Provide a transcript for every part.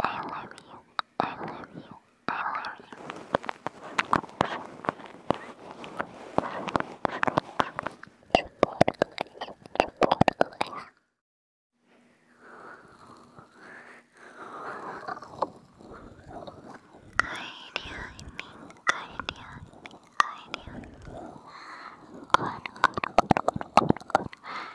I love you, I love you, I love you. Good, good, good, good, good, good,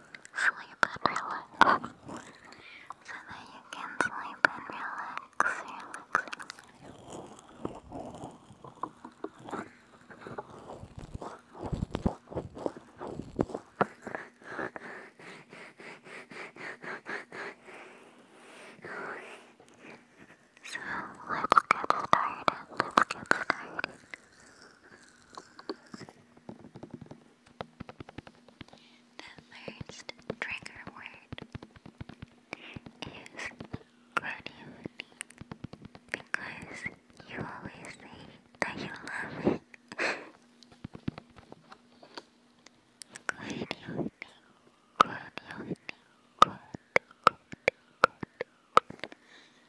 sleep and relax. So that you can sleep and relax, So let's get started. Let's get started. The first trigger word is gratitude because you always say that you love it. gratitude, gratitude, gratitude, gratitude,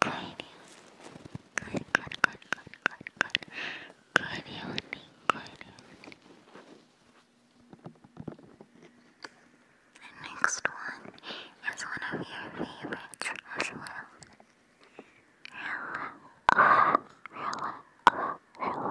good, good, good, good, good, good, good evening, The next one is one of your favorites as well. hello, hello, hello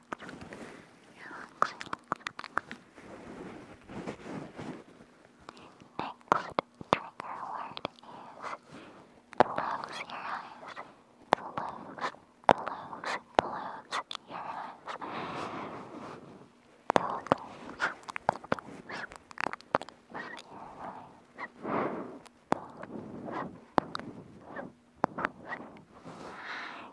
Relaxing. Next trigger word is close your eyes. Close, close, close your eyes. Close, close, close your eyes. Close, close, close.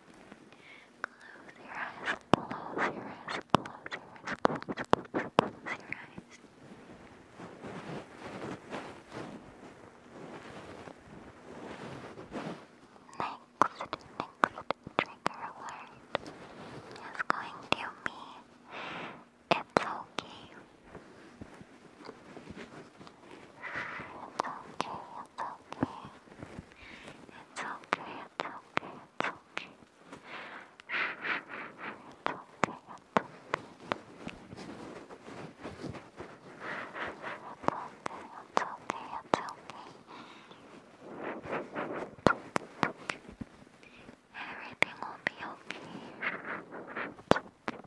Close your eyes, close your eyes, close your eyes, close, your eyes. Next, next trigger alert is going to be It's okay. It's okay, it's okay. It's okay. okay. okay. okay. okay. okay. okay. Everything will be okay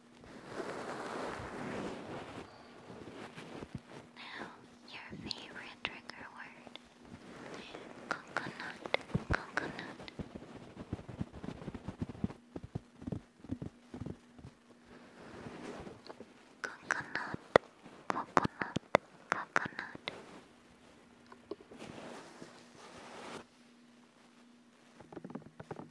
Now, your favorite trigger word coconut, coconut. Coconut, coconut, coconut.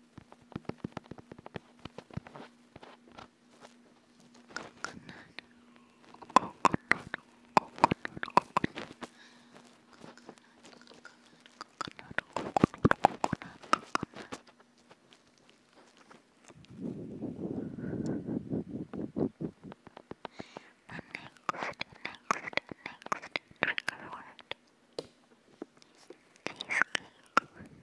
coconut, coconut, coconut, coconut. Coconut, coconut, coconut, coconut. The next, next, next trigger word. Cheesecake.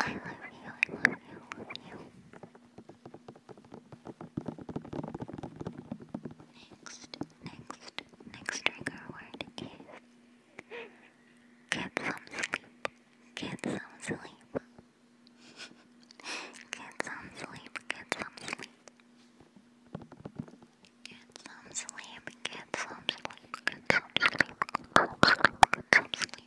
I love you, I love you, I love you. Next, next, next trigger word is get some sleep, get some sleep. get some sleep, get some sleep. Get some sleep, get some sleep,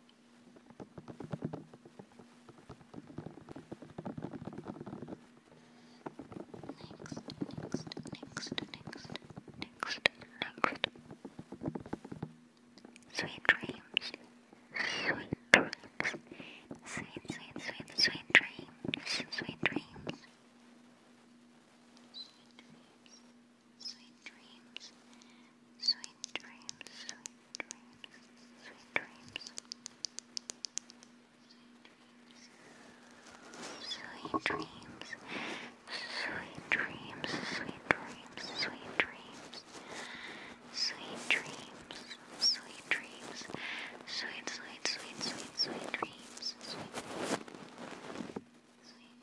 next, next, next, next. Sweet dreams, sweet dreams, sweet, sweet, sweet, sweet sweet Sweet dreams. Sweet dreams sweet dreams, sweet dreams, sweet dreams, sweet dreams, sweet dreams, sweet dreams, sweet dreams, sweet dreams, sweet dreams, sweet dreams, sweet dreams, sweet, sweet, sweet, sweet, sweet dreams, sweet. Sweet,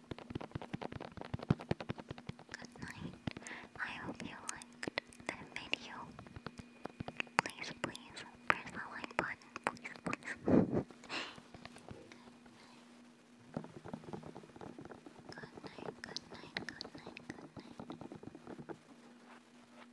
Good night. I hope you liked the video. Please, please press the like button. Please, please. good night, good night, good night, good night.